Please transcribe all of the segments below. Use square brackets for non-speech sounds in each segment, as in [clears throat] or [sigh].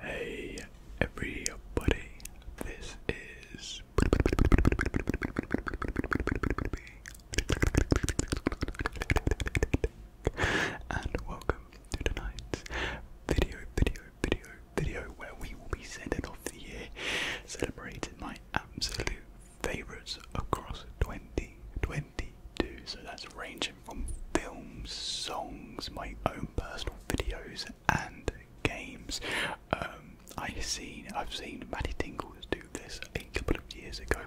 Hey everybody, this is and welcome to tonight's video, video, video, video where we will be sending off the year celebrating my absolute favourites across 2022. So that's range from films, songs, my own personal videos, and games. Um, I seen I've seen Maddie Tingles do this a couple of years ago,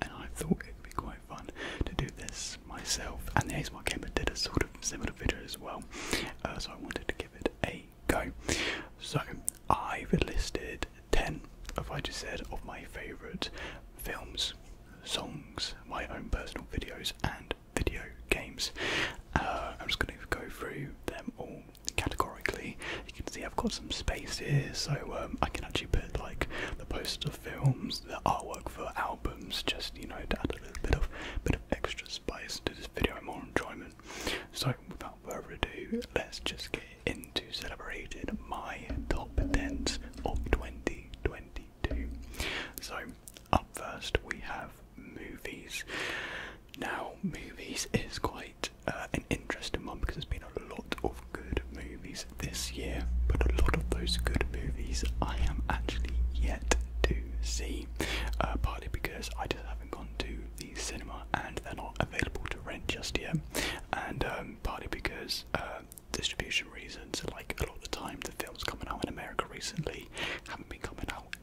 and I thought it'd be quite fun to do this myself. And the ASMR camera did a sort of similar video as well, uh, so I wanted to give it a go. So I've listed ten, of I just said, of my favourite films, songs, my own personal videos, and video games. Uh, I'm just going to go through them all categorically. You can see I've got some space here, so um, I can actually put like the posters films, the artwork for albums, just you know to add a little bit of bit of extra spice to this video more enjoyment. So without further ado, let's just get into celebrating my top tens of 2022. So up first, we have movies. Now, movies is quite uh, an interesting one because there's been a lot of good movies this year, but a lot of those good movies I am actually yet to see, uh, partly because I just haven't gone to the cinema and they're not available to rent just yet, and um, partly because uh, distribution reasons, like a lot of the time the films coming out in America recently haven't been coming out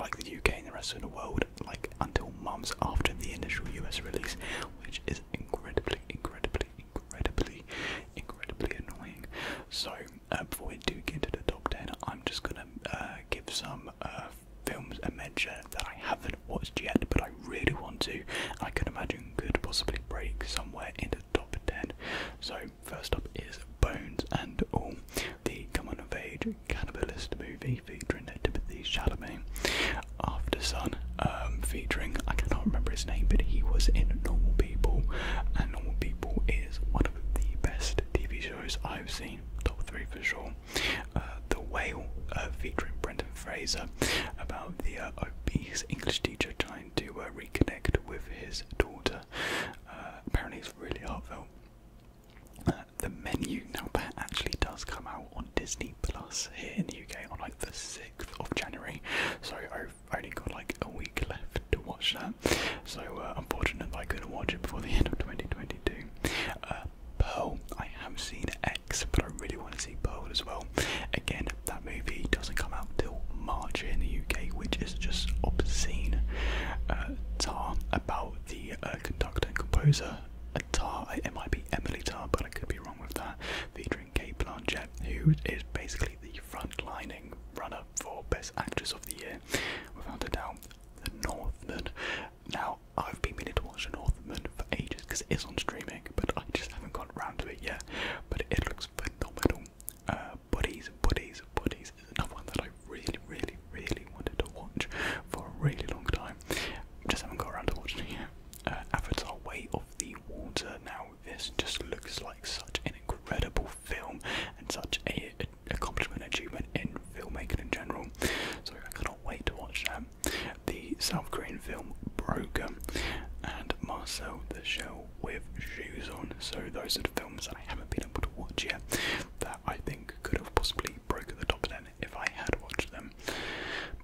like the UK and the rest of the world like until months after the initial US release, which is incredibly, incredibly, incredibly, incredibly annoying. So uh, before we do get into the top ten, I'm just gonna uh, give some uh, films a mention that I haven't watched yet, but I really want to. I can imagine could possibly break somewhere in the top ten. So first up is Bones and All, the coming of age cannibalist movie featuring Timothy Chalamet. After Sun, um, featuring I cannot remember his name, but he was in Normal People, and Normal People is one of the best TV shows I've seen, top three for sure. Uh, the Whale, uh, featuring Brendan Fraser, about the uh, obese English teacher trying to reconnect with his daughter apparently, it's really heartfelt. Uh, the menu now actually does come out on Disney Plus here in the UK on like the 6th of January, so I've only got like a week left to watch that. So, uh, unfortunately, I couldn't watch it before the [laughs] end of 2022. Uh, Pearl, I have seen X, but I really want to see Pearl as well. Again, that movie doesn't come out till. March in the UK, which is just obscene. Uh, Tar about the uh, conductor and composer uh, Tar, it might be Emily Tar, but I could be wrong with that, featuring Kate Blanchett, who is basically the frontlining runner for Best Actress of the Year, without a doubt. The Northman. Now, I've been meaning to watch The Northman for ages because it is on streaming, but I just haven't got around to it yet. But it looks phenomenal. Uh, Buddies, Buddies, Buddies is another one that I really, really, really wanted to watch for a really long time. Just haven't got around to watching it uh, Avatar Way of the Water. Now, this just looks like such an incredible film and such a, a accomplishment, achievement in filmmaking in general. So, I cannot wait to watch that. The South Korean film Broken and Marcel the Show with shoes on. So those are the films that I haven't been able to watch yet that I think could have possibly broken the top ten if I had watched them.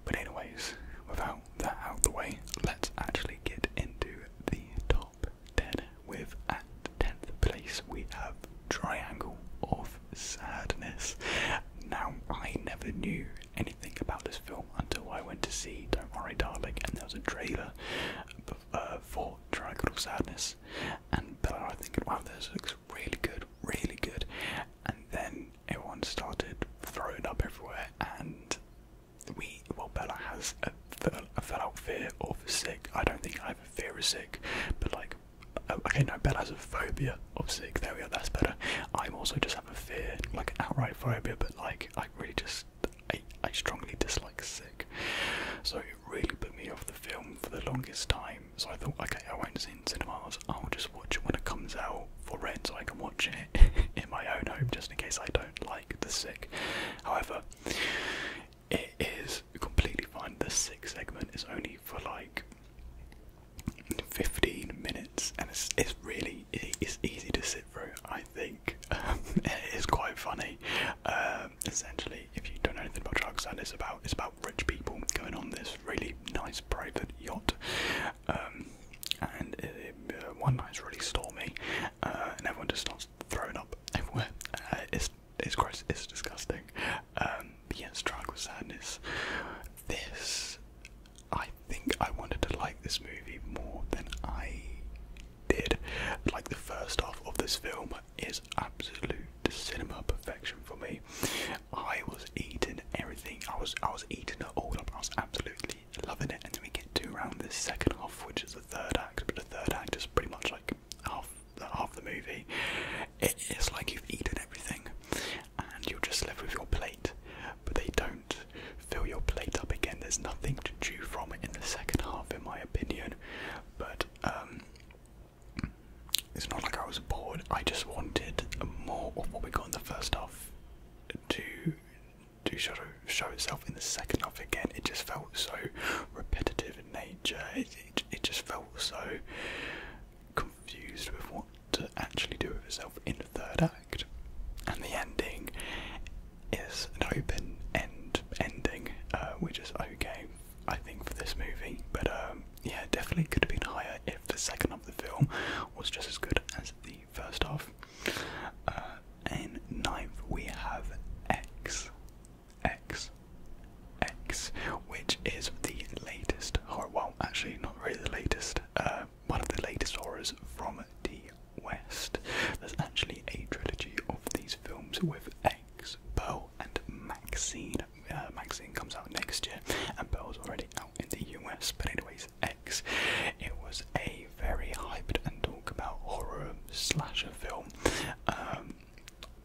But anyways, without that out the way, let's actually get into the top ten with at the tenth place we have Triangle of Sadness. Now I never knew anything about this film until I went to see Don't Worry Darling and there was a trailer of uh, for Triangle Sadness, and Bella I think, wow, this looks really good, really good, and then everyone started throwing up everywhere, and we, well, Bella has a, a fell of sick. I don't think I have a fear of sick, but like, oh, okay, no, Bella has a phobia of sick. There we go, that's better. I'm also just have a fear, like outright phobia, but like, I really just. I, I strongly dislike sick, so really put me off the film for the longest time. So I thought, okay, I won't see it in cinemas. I'll just watch it when it comes out for rent, so I can watch it [laughs] in my own home, just in case I don't like The Sick. However, it is completely fine. The Sick segment is only for like. 15 minutes and it's, it's really it's easy to sit through i think um, [laughs] it is quite funny. Um, essentially, if you don't know anything about Dragonstone, it's about it's about rich people going on this really nice private yacht, um, and it, uh, one really stormy, uh, and everyone just starts throwing up [laughs] everywhere. Uh, it's it's gross. It's disgusting. Um, but yes, Sadness. This, I think, I wanted to like this movie more than I did. Like the first half of this film, is absolute cinema perfection for me. I was eating everything. I was I was eating it all I was absolutely loving it. And we get to around the second half, which is the third act. But the third act is pretty much like half the half the movie. It is like you've eaten everything, and you're just left with your plate. But they don't fill your plate up again. There's nothing to chew from in the second half, in my opinion. But um, it's not like I was bored. I just wanted more of what we got in the first half to to show show itself in the second half again. It just felt so repetitive in nature. It it, just felt so confused with what to actually do with itself in the third act, and the ending is an open end ending, uh, which is okay. I think, for this movie. But um, yeah, definitely could have been higher if the second of the film was just as good as the first half. Uh, ninth, we have X. X. X, which is the latest horror. Well, actually, not really the latest. Uh, one of the latest horrors from the West. There's actually a trilogy of these films with legs. Bo and Maxine. Uh, Maxine comes out next year, and Bo's already out in the US. But, anyways, X. It was a very hyped and talk about horror slasher film. Um,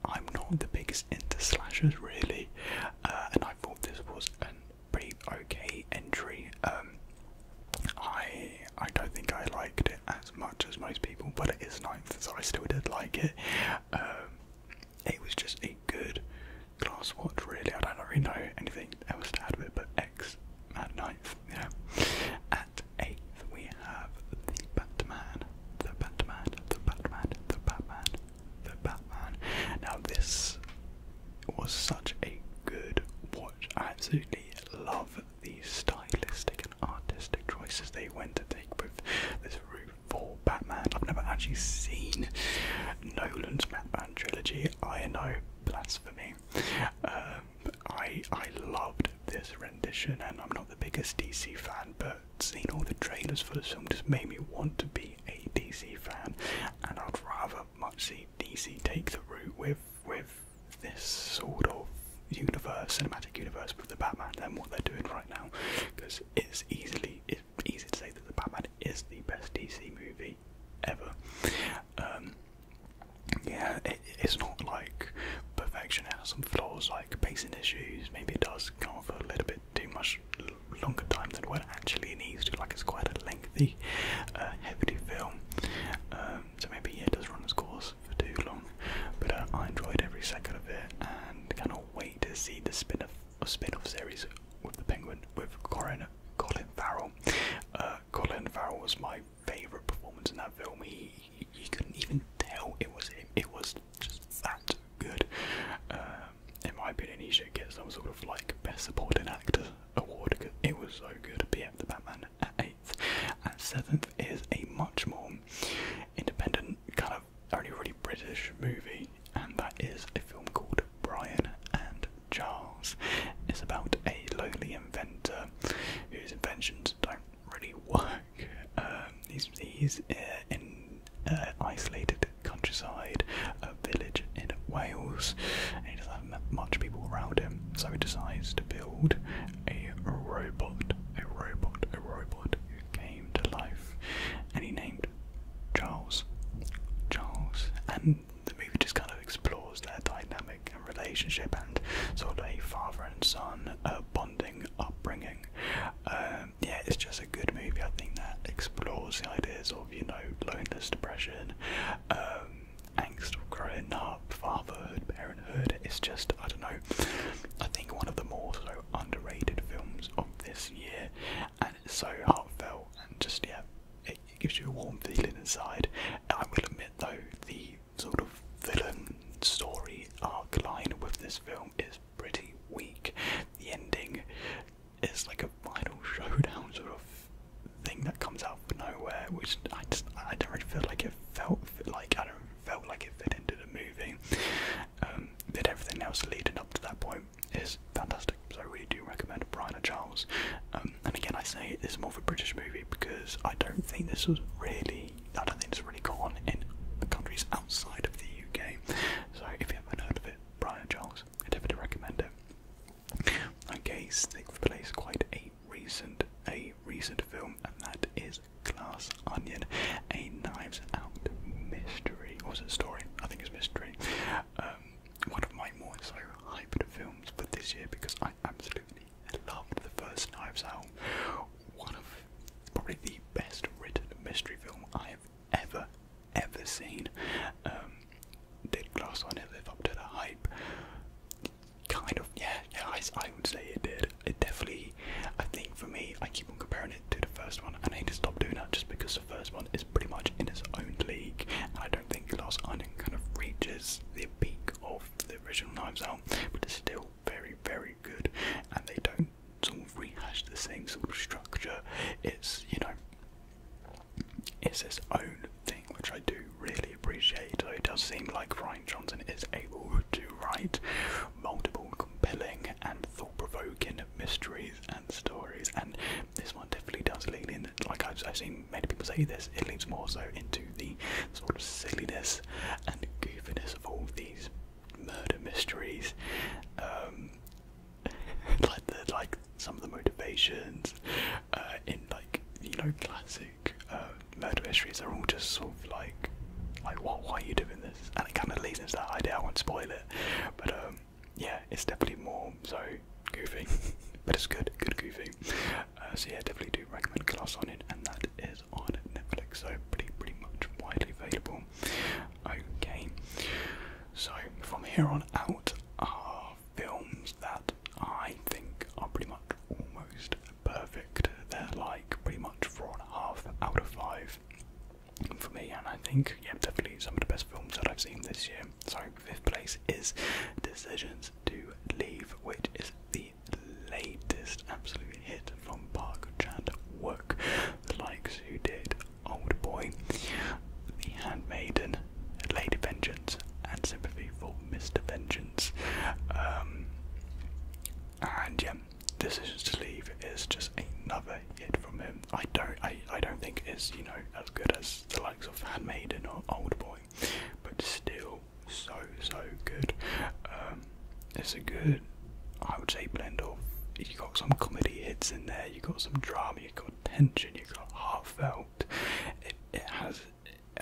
I'm not the biggest into slashers, really, uh, and I thought this was a pretty okay entry. Um, I I don't think I liked it as much as most people, but it is ninth, so I still did like it. Um, it was just a good glass watch, really. I don't really know anything else to add to it, but X at ninth, yeah. At eighth, we have the Batman, the Batman, the Batman, the Batman, the Batman. Now, this was such a good watch. I absolutely love it the stylistic and artistic choices they went to take with this root for Batman. I've never actually seen Nolan's Batman trilogy. I know blasphemy. Um, I I loved this rendition, and I'm not the biggest DC fan, but seeing all the trailers for this film just made me want to be a DC fan, and I'd rather much see DC take the route with with this sort of universe, cinematic universe with the Batman and what they're doing right now, because it's easily it's easy to say that the Batman is the best DC movie ever. Um, yeah, it's not like perfection. It has some flaws, like pacing issues. Maybe it does go on for a little bit too much longer time than what it actually needs to. Like it's quite a lengthy, uh, heavy film. Um, so maybe yeah, it does run its course for too long, but uh, I enjoyed every second of it and cannot wait to see the spin off spin off series with the Penguin with Corinna Colin Farrell. Uh, Colin Farrell was my favourite performance in that film. He, he couldn't even tell it was him. It was just that good. Uh, in my opinion, he should get some sort of like best supporting actor award it was so good. But yeah, the Batman at eighth. At seventh is a much more independent, kind of only really British movie, and that is a film called Brian and Charles. It's about a lonely inventor whose inventions don't really work. Um, he's he's uh, in uh, isolated countryside, a village in Wales, and he doesn't have much people around him, so he decides to build a robot, a robot, a robot who came to life and he named Charles. Charles. And the movie just kind of explores their dynamic and relationship and sort of a father and son uh, bonding upbringing. Um, yeah, it's just a good movie, I think, that explores the ideas of, you know, loneliness, depression, um, angst of growing up, fatherhood, parenthood. It's just, I don't know, I think one of the more sort underrated films of this year, and it's so heartfelt and just yeah, it, gives you a warm feeling inside. I will admit though, the sort of villain story arc line with this film is pretty weak. The ending is like a final showdown sort of thing that comes out of nowhere, which I just I don't really feel like it felt like I don't felt like it fit into the movie. Um, that everything else leading up to that point is fantastic. So I really do recommend Brian and Charles. Um, and again, I say it's more of a British movie because I don't think this was really, I don't think it's really gone in the countries outside of the UK. So if you haven't heard of it, Brian Charles, I definitely recommend it. Okay, sixth place, quite a recent, a recent film, and that is. Glass Onion, a Knives Out mystery. was it a story? I think it's mystery. Um, one of my more so hyped films for this year because I absolutely loved the first Knives Out. One of probably the best written mystery film I have ever, ever seen. did um, Glass Onion live up to the hype? Kind of, yeah, yeah, I would say it did. It definitely, I think for me, I keep on comparing it to the first one, and I need to stop doing that just because the first one is pretty much in its own league, and I don't think Last Island kind of reaches the peak of the original Knives Out, but it's still very, very good, and they don't sort of rehash the same sort of structure. It's, you know, it's its own thing, which I do really appreciate. So it does seem like Ryan Johnson is able to write multiple compelling and thought-provoking mysteries and stories. And this one definitely does lean in. Like I've, I've seen many people say this, it leans more so into the sort of silliness and goofiness of all these murder mysteries. Um, [laughs] like the like some of the motivations uh, in like you know classic uh, murder mysteries are all just sort of like like what why are you doing this and it kind of leads into that idea. I won't spoil it, but um, yeah, it's definitely more so goofy, [laughs] but it's good, good goofy. Uh, so yeah, definitely do recommend Glass on it, and that is on Netflix, so pretty pretty much widely available. Okay, so from here on out are films that I think are pretty much almost perfect. They're like pretty much four and a half out of five for me, and I think, yeah, definitely some of the best films that I've seen this year. Sorry, fifth place is Decisions to Leave, which is the latest absolute hit from Park Chan Wook, the likes who did Old Boy, The Handmaiden, Lady Vengeance, and Sympathy for Mr. Vengeance. Um, and yeah, this to leave is just another hit from him. I don't, I, I don't think it's you know as good as the likes of Handmaiden or Old Boy, but still so so good. Um, it's a good, I would say, blend of. You got some comedy hits in there. You got some drama. You got tension. You got heartfelt. It, it has.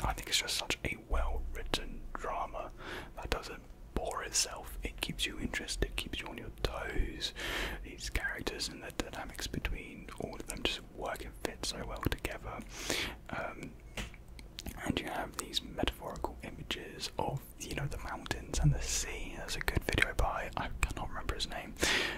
I think it's just such a well-written drama that does bore itself. It keeps you interested, keeps you on your toes. These characters and the dynamics between all of them just work and fit so well together. Um, and you have these metaphorical images of you know the mountains and the sea. There's a good video by I cannot remember his name,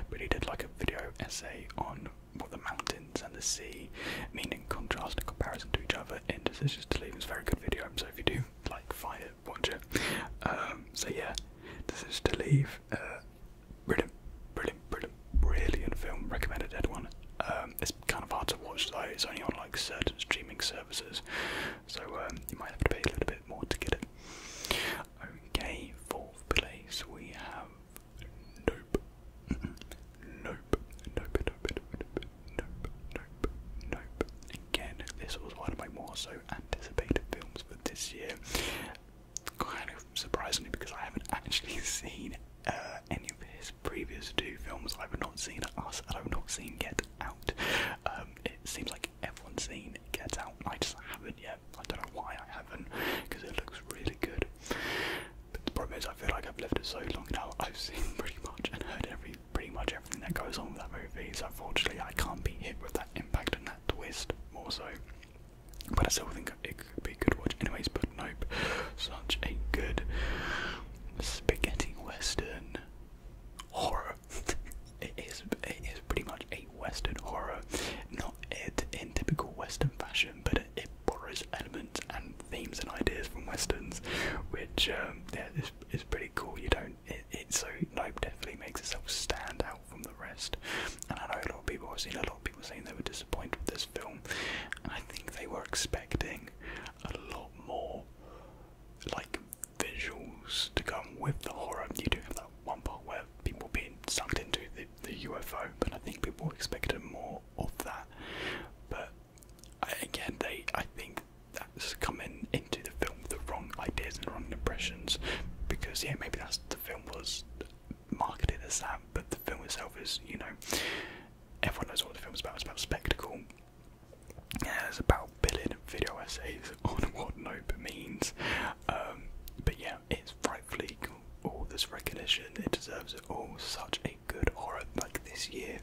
but he did like a video essay on the mountains and the sea meaning contrast and comparison to each other in Decisions just Leave. It's a very good video, so if you do like find it, um, so yeah, this is to leave. Uh, brilliant, brilliant, brilliant, brilliant film. Recommended everyone. Um, it's kind of hard to watch though. It's only on like certain streaming services, so um, you might have to pay a little bit more to get it. Okay, fourth place we have nope. [laughs] Nope. Nope. Nope. Nope nope, nope, nope. Again, this was one of my more so anticipated films for this year. Kind of surprisingly, because I haven't actually [laughs] seen uh, any of his previous two films. I've not seen Us, and I've not seen Get Out. Um, it seems like everyone's seen Get Out, and I just haven't yet. I don't know why I haven't, because it looks really good. But the problem is, I feel like I've lived it so long now. I've seen pretty much and heard every pretty much everything that goes on with that movie. So unfortunately, I can't be hit with that impact and that twist more so. But I still think it could be a good watch, anyways. But nope, such a good spaghetti western horror. [laughs] it is. It is pretty much a western horror, not it in typical western fashion, but it, borrows elements and themes and ideas from westerns, which um, yeah, is is pretty cool. You don't don't. It, it so Nope definitely makes itself stand out from the rest. And I know a lot of people. I've seen a lot of people saying they were disappointed with this film. I think they were expecting a lot more, like visuals to come with the horror. You do have that one part where people being sucked into the, the UFO, but I think people expected more of that. But again, they I think that's coming into the film with the wrong ideas and wrong impressions because yeah maybe that's the film was marketed as that but the film itself is you know everyone knows what the film's about it's about spectacle yeah, it's about building video essays [laughs] on what NOPA means um, but yeah it's rightfully all this recognition it deserves it all such a good horror like this year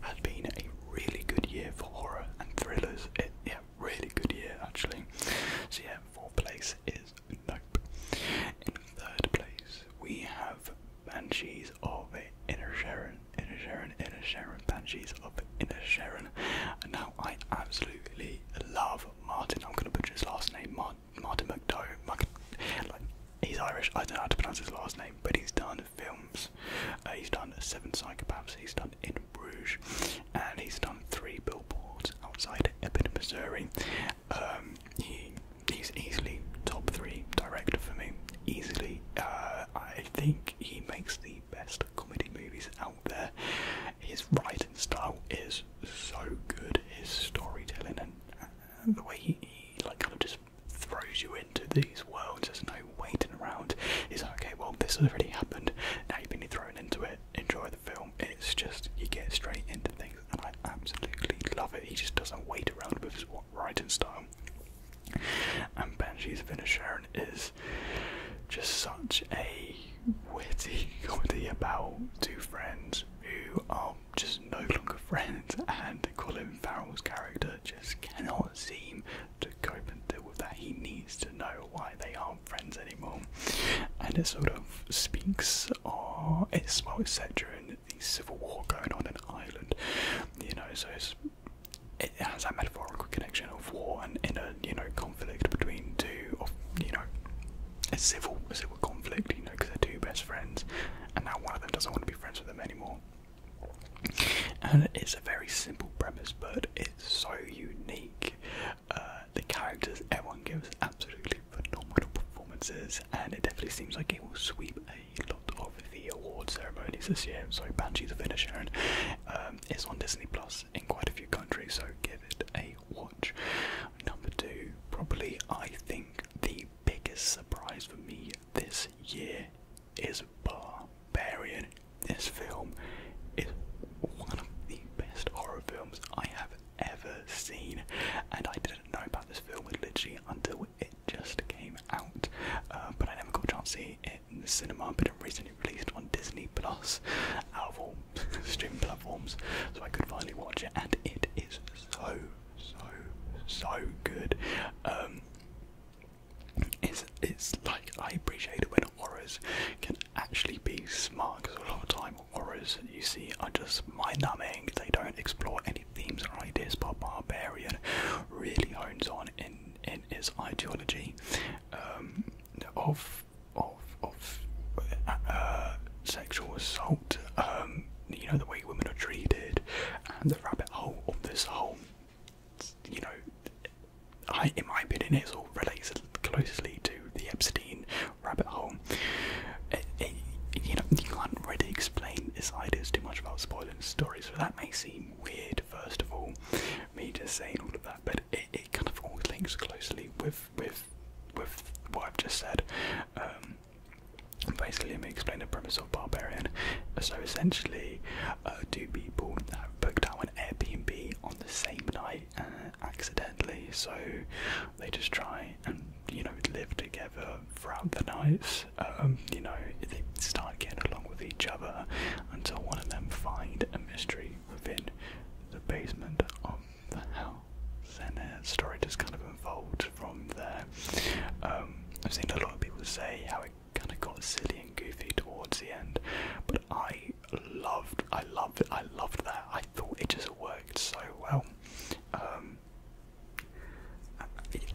has been a really good year for horror and thrillers. It, eh, yeah, really good year actually. So yeah, fourth place is Nope. In third place we have Banshees of Inner Sharon, Inner Sharon, Inner Sharon, Banshees of Inner Sharon. now I absolutely love Martin. I'm gonna butcher his last name, Martin, Martin McDowell. Like, he's Irish. I don't know how to pronounce his last name, but he's done films he's done Seven Psychopaths, he's done In Bruges, and he's done three billboards outside Ebbing, Missouri. Um, he's easily top three director for me. Easily. Uh, I think he makes the best comedy movies out there. His writing style is so good, his storytelling and, the way he, like kind of just throws you into these worlds. There's no waiting around. He's like, okay, well, this has already happened. Now you've been thrown into it. Enjoy the film. It's just you get straight into things, and I absolutely love it. He just doesn't wait around with his writing style. And Benji's finisher Inisherin is just such a witty [laughs] comedy about two friends who are just no longer friends, and Colin Farrell's character just cannot seem to cope and deal with that. He needs to know why they aren't friends anymore. And it sort of speaks of it's well, it's set during the civil war going on in Ireland. You know, so it has that metaphorical connection of war and inner, you know, conflict between two of, you know, a civil, civil conflict, you know, because they're two best friends, and now one of them doesn't want to be friends with them anymore. And it's a very simple premise, but it's so unique. Uh, the characters, everyone gives absolutely phenomenal performances, and it definitely seems like it will sweep a lot of the award ceremonies this year. So, Banshees of Inisherin um, is on Disney Plus in quite a few countries, so give it a watch. Number two, probably I think the biggest surprise for me this year is barbarian. This film is one of the best horror films I have ever seen, and I didn't know about this film literally until it just came out. Uh, but I never got a chance to see it in the cinema, but it recently released on Disney Plus, out [laughs] streaming platforms, so I could finally watch it, and it is so, so, so good. Um, is it's like I appreciate it when horrors can actually be smart because a lot of time horrors you see are just mind numbing, they don't explore any themes or ideas, but Barbarian really hones on in in its ideology um, of of of uh, sexual assault, um, you know the way women are treated, and the rabbit hole of this whole you know, I, in my opinion, it all relates closely to the Epstein rabbit hole. you know, you can't really explain this ideas too much about spoiling stories, so that may seem weird. First of all, me just saying all of that, but it, kind of all links closely with with with what I've just said. Um, basically, let me explain the premise of Barbarian. So essentially, uh, two people have booked out Airbnb on the same night uh, accidentally, so they just try and you know live together throughout the nights. Um, you know they start getting along with each other until one of them find a mystery within the basement of the house, and their story just kind of unfolds from there. Um, I've seen a lot of people say how it kind of got silly and goofy towards the end, but I loved, I loved, I loved that. I thought it just worked so well. Um, I,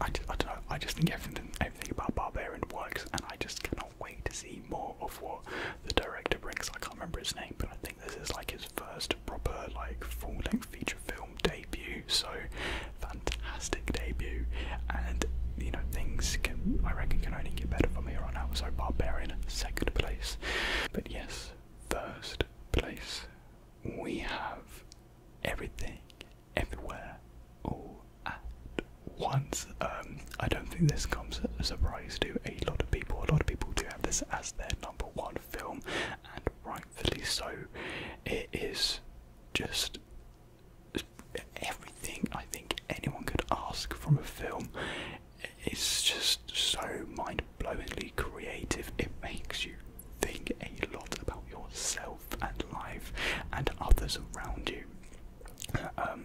I don't know. I just think everything, everything about Barbarian works, and I just cannot wait to see more of what the director brings. I can't remember his name, but I think this is like his first proper, like full-length feature film debut. So fantastic debut, and you know, things can, I reckon, can only get better from here on out. So Barbarian, second place. But yes, first place, we have everything, everywhere, all at once. Um, I don't think this comes as a surprise to a lot of people. A lot of people do have this as their number one film, and rightfully so. It is just everything I think anyone could ask from a film. It's just so mind blowingly creative. It makes you think a lot about yourself and life and others around you. Um,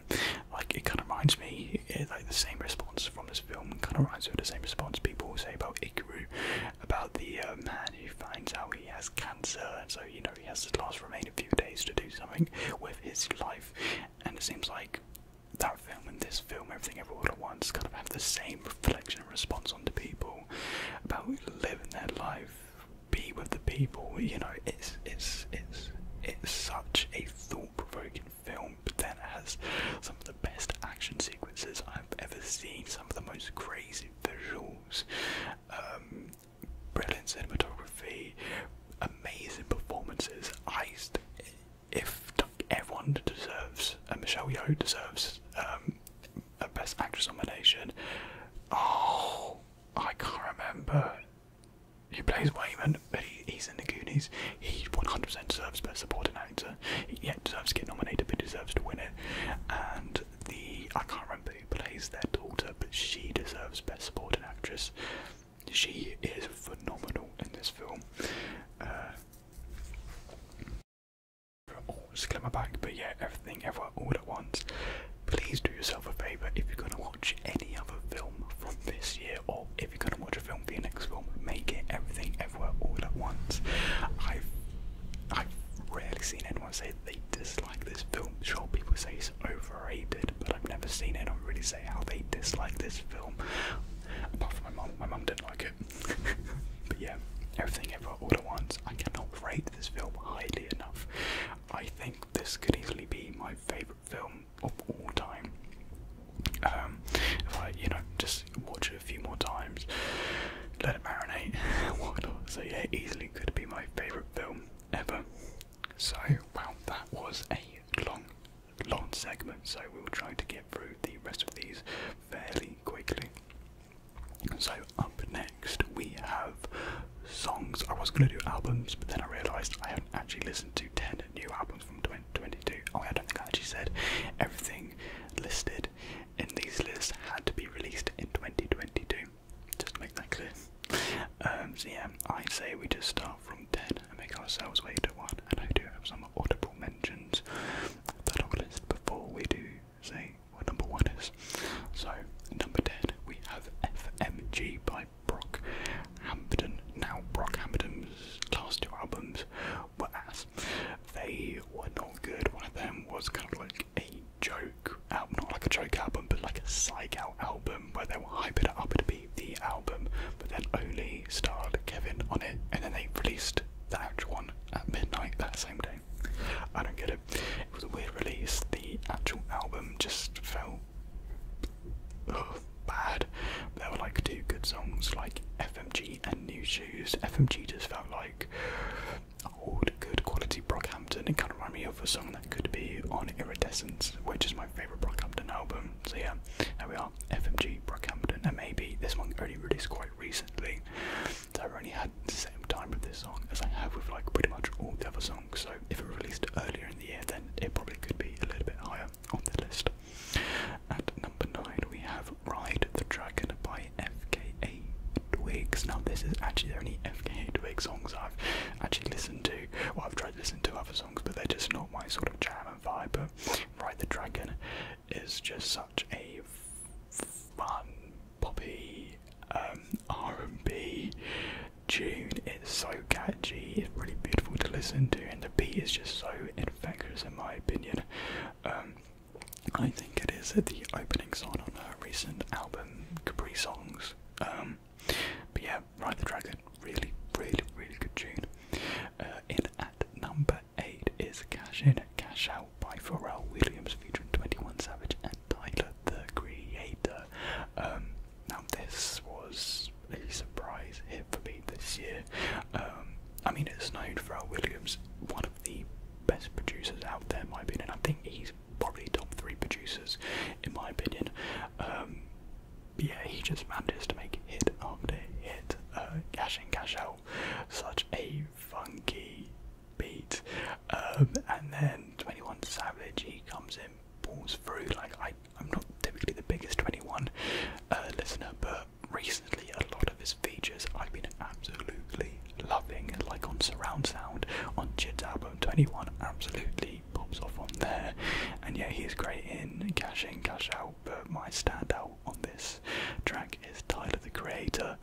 like it kind of reminds me, eh, like the same response from this film kind of reminds me of the same response people say about Ikaru, about the uh, man who finds out he has cancer, and so you know he has to last remain a few days to do something with his life and it seems like that film and this film, Everything Ever All at Once, kind of have the same reflection and response onto people about living their life, be with the people. You know, it's it's it's it's such a thought-provoking film, but then it has some of the best action sequences I've ever seen, some of the most crazy visuals. Um, brilliant cinematography, amazing performances. I, if everyone deserves, and uh, Michelle Yeoh deserves um, a Best Actress nomination. Oh, I can't remember. He plays Wayman, but he's in the Goonies. He 100% deserves Best Supporting Actor. He yeah, deserves to get nominated, but deserves to win it. And the I can't remember who plays their daughter, but she deserves Best Supporting Actress. She is phenomenal in this film. Uh, oh, just get my back, but yeah, everything, everywhere, all at once. Please do yourself a favour if you're going to watch any other film from this year, or if you're going to watch a film for your next film, make it everything, everywhere, all at once. I've I've rarely seen anyone say they dislike this film. Sure, people say overrated, but I've never seen it. And I really say how they dislike this film. Apart from my mum, my mum didn't like it. [laughs] but yeah, everything ever all at once. I cannot rate this film highly enough. I think this could easily be my favourite film of all time. Um, if I, you know, just watch it a few more times, let it marinate, [laughs] So yeah, easily could be my favourite film ever. So, well, that was a long, long segment, so we'll try to get through the rest of these fairly quickly. So, up next we have songs. I was going to do albums, but then I realised I hadn't actually listened to 10 new albums from 2022. Oh, I don't think I actually said everything listed in these lists had to be released in 2022. Just make that clear. Um, so yeah, i say we just start from 10 and make ourselves way to 1. And I do have some audible mentions that I'll list before we do say what number 1 is. So, number 10, we have FMG by Brock Hampton. Now, Brock Hampton's last two albums were ass. They were not good. One of them was kind of like a joke album, not like a joke album, but like a psych out album where they were hyping it up to be the album, but then only starred Kevin on it, and then they released the actual one at midnight that same day. I don't get it. It was a weird release. The actual album just felt ugh, bad. There were like two good songs, like FMG and New Shoes. FMG just felt like old, good quality Brockhampton. It kind of reminded me of a song could be on Iridescence, which is my favourite Brockhampton album. So yeah, there we are, FMG Brockhampton, and maybe this one only released quite recently. So I only had the same time with this song as I have with like pretty much all the other songs. So if it released earlier in the year, then it probably could be a little bit higher on the list. At number nine, we have Ride the Dragon by FKA Twigs. Now this is actually the only FKA Twigs songs I've actually listened to. What I've tried. Listen to other songs, but they're just not my sort of jam and vibe. But Ride the Dragon is just such a fun, poppy, um, R&B tune. It's so catchy. It's really beautiful to listen to, and the beat is just so infectious, in my opinion. Um, I think it is the opening song on her recent album, Capri Songs. Um, but yeah, Ride the Dragon, really, really, really good tune. Uh, in at number 8 is Cash In, Cash Out by Pharrell Williams featuring 21 Savage and Tyler the Creator. Um, now, this was a surprise hit for me this year. Um, I mean, it's known Pharrell Williams, one of the best producers out there, in my opinion. I think he's probably top three producers, in my opinion. Um, yeah, he just manages to make hit after hit, uh, cash cash out. Such a funky beat. Um, and then 21 Savage, he comes in, pulls through. Like, I, I'm not typically the biggest 21 uh, listener, but recently a lot of his features I've been absolutely loving. Like on Surround Sound, on Jid's album 21, absolutely pops off on there. And yeah, he's great in cash in, cash out, but my standout on this track is Tyler the Creator.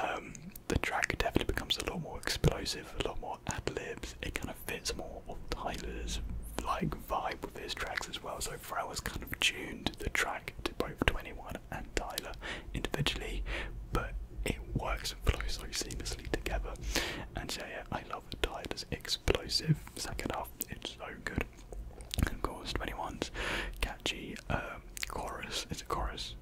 Um, the track definitely becomes a lot more explosive, a lot more ad libs. It kind of fits more of Tyler's like vibe with his tracks as well. So Pharrell has kind of tuned the track to both 21 and Tyler individually, but it works and flows so seamlessly together. And so yeah, I love Tyler's explosive second half it's so good. And of course, 21's catchy um, chorus. It's a chorus.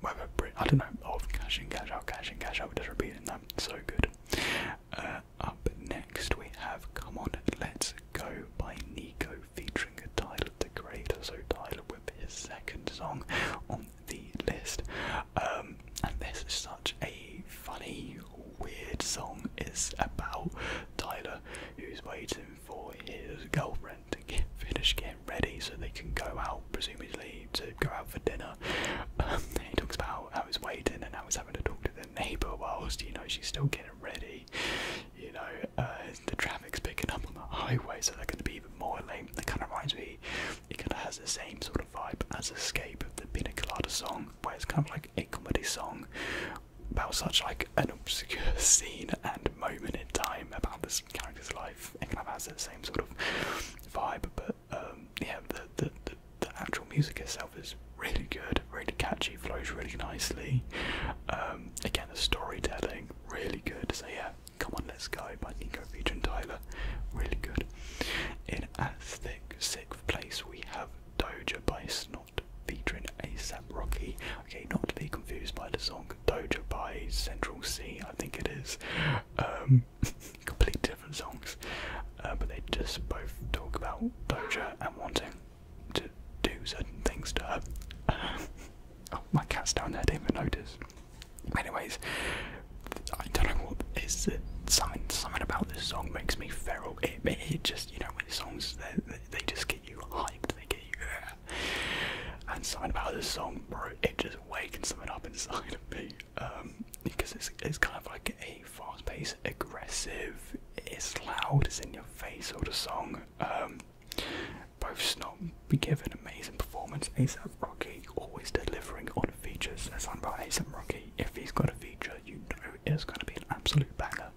Whether I don't know of cash in, cash out, cash in, cash out. Just repeating that. So good. Uh, up next we have "Come On, Let's Go" by Nico featuring Tyler the Creator. So Tyler with his second song on the list. Um, and this is such a funny, weird song is about Tyler who's waiting for his girlfriend to finish getting ready so they can go out, presumably to go out for dinner. Um, [laughs] he talks about how he's waiting and how he's having to talk to the neighbour whilst you know she's still getting ready. You know, uh, the traffic's picking up on the highway, so they're going to be even more late. It kind of reminds me, it kind of has the same sort of vibe as Escape, of the Pina Colada song, where it's kind of like a comedy song about such like an obscure [laughs] scene and moment in time about this character's life. It kind of has that same sort of vibe, but um, yeah, the, the, the, actual music itself is really good, really catchy, flows really nicely. Um, again, the storytelling, really good. So yeah, Come On Let's Go by Nico Feature and Tyler, really good. In at thick six place we have Doja by Snot featuring ASAP Rocky. Okay, not to be confused by the song Doja by Central C, I think it is. Um, [laughs] complete different songs, uh, but they just both talk about Doja and wanting to do certain things to [laughs] oh, my cat's down there, I didn't even notice. Anyways, I don't know what is it. Something, something about this song makes me feral it, just, you know, with songs, they, they just get you hyped, they get you, yeah. and something about this song, bro, it just wakens something up inside of me, um, because it's, it's kind of like a fast-paced, aggressive, it's loud, it's in your face sort of song, um, both we give an amazing performance, ASAP Rocky always delivering on features, that's something about ASAP Rocky, if he's got a feature, you know it's going to be an absolute banger.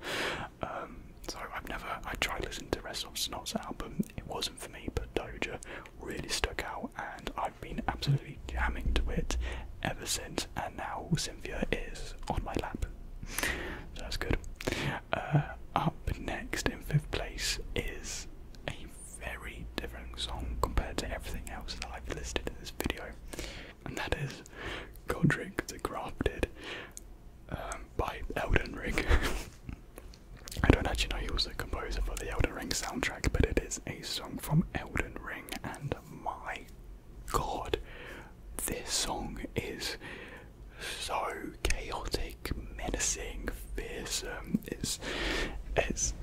Um, so I've never, I tried listening to Rest of Snot's album, it wasn't for me, but Doja really stuck out and I've been absolutely jamming to it ever since and now Cynthia is on my lap. So that's good. Uh, up next in fifth place is a very different song compared to everything else that I've listed in this video and that is Godric the Crafted um, by Elden Ring. [laughs] I don't actually know who was the composer for the Elden Ring soundtrack, but it is a song from Elden Ring, and my god, this song is so chaotic, menacing, fearsome. It's, it's,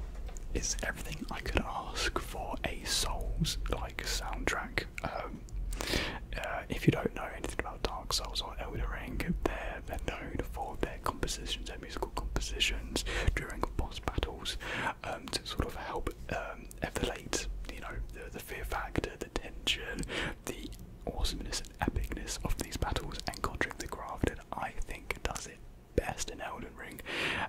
it's everything I could ask for a Souls soundtrack. Um, uh, if you don't know anything about Dark Souls or Elder Ring, they're, known for their compositions, their musical compositions during boss battles um, to sort of help um, elevate, you know, the, fear factor, the tension, the awesomeness and epicness of these battles and Godric the Crafted, I think, does it best in Elden Ring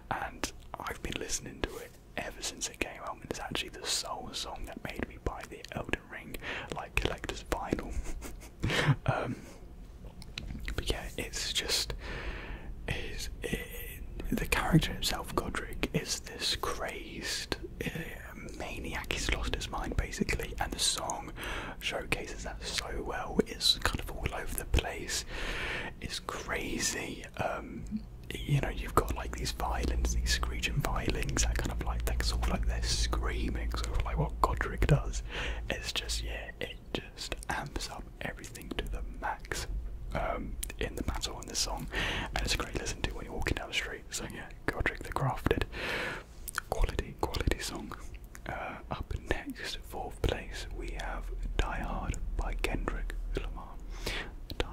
and I've been listening to it ever since it came out, and it's actually the sole song that made me buy the Elden Ring like collector's vinyl. [laughs] Um, but yeah, it's just is the character himself, Godric, is this crazed um, maniac. He's lost his mind basically, and the song showcases that so well. It's kind of all over the place. It's crazy. Um, you know, you've got like these violins, these screeching violins that kind of like that sort of like they're screaming, sort of like what Godric does. It's just yeah, it just amps up everything to the max um, in the battle in this song, and it's a great listen to when you're walking down the street. So yeah, Godric the Crafted, quality quality song. Uh, up next, fourth place, we have Die Hard by Kendrick Lamar.